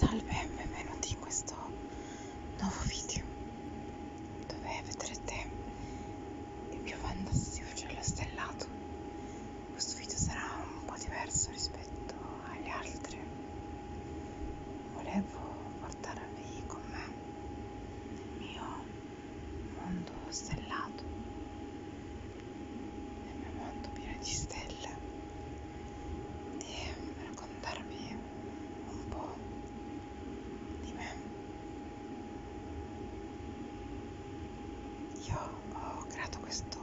Salve e benvenuti in questo nuovo video dove vedrete il mio fantastico cielo stellato. Questo video sarà un po' diverso rispetto agli altri. Volevo portarvi con me nel mio mondo stellato nel mio mondo pieno di stelle e raccontarvi un po' di me. Io ho creato questo,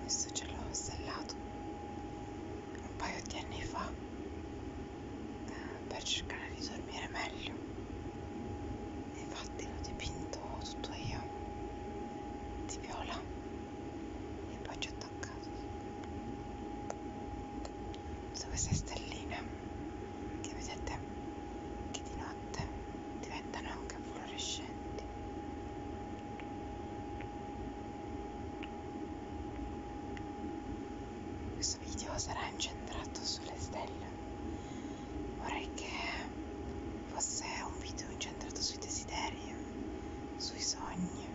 questo cielo stellato un paio di anni fa eh, per cercare di dormire meglio. Infatti l'ho dipinto tutto io di viola e poi ci ho attaccato su queste stelline che vedete che di notte diventano anche fluorescenti questo video sarà incentrato sulle stelle vorrei che fosse un video incentrato sui desideri, sui sogni,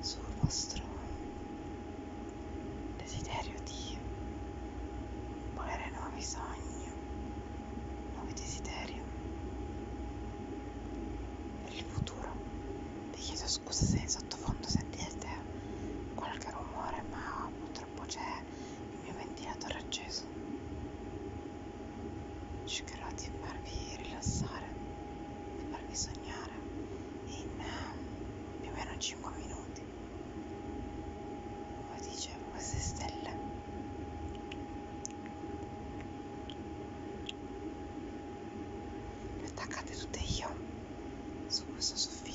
sul vostro desiderio di volere nuovi sogni, nuovi desideri per il futuro. Vi chiedo scusa se in sottofondo sentite qualche rumore, ma purtroppo c'è il mio ventilatore acceso cercherò di farvi rilassare di farvi sognare in eh, più o meno 5 minuti come dicevo queste stelle le attaccate tutte io su questo soffitto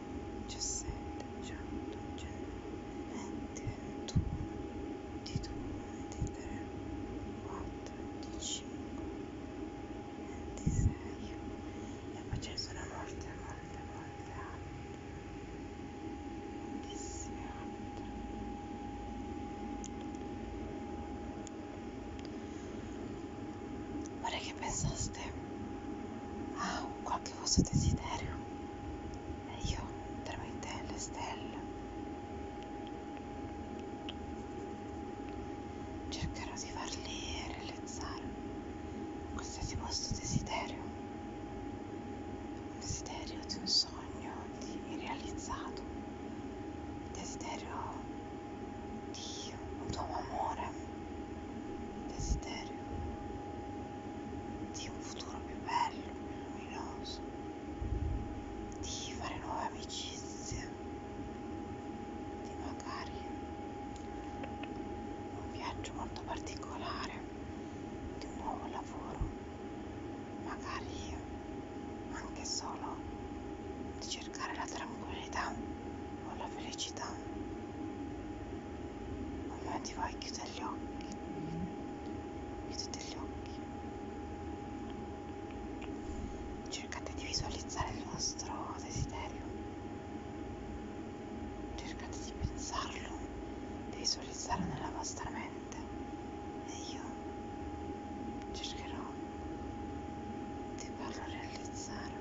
17, 18, 20, 21, 22, 23, 24, 25, 26 e poi ce ne sono molte, molte, molte altre, moltissime altre. Vorrei che pensaste a ah, qua che vostro desiderio e io trovo in te le stelle. Cercherò di farli realizzare qualsiasi vostro desiderio, un desiderio di un sogno di realizzato, un desiderio di un tuo amore desiderio di un futuro più bello, più luminoso, di fare nuove amicizie, di magari un viaggio molto particolare, di un nuovo lavoro, magari anche solo di cercare la tranquillità o la felicità allora ti vai a chiudere gli occhi. Mm. Chiudete gli occhi. Cercate di visualizzare il vostro desiderio. Cercate di pensarlo, di visualizzarlo nella vostra mente. E io cercherò di farlo realizzare.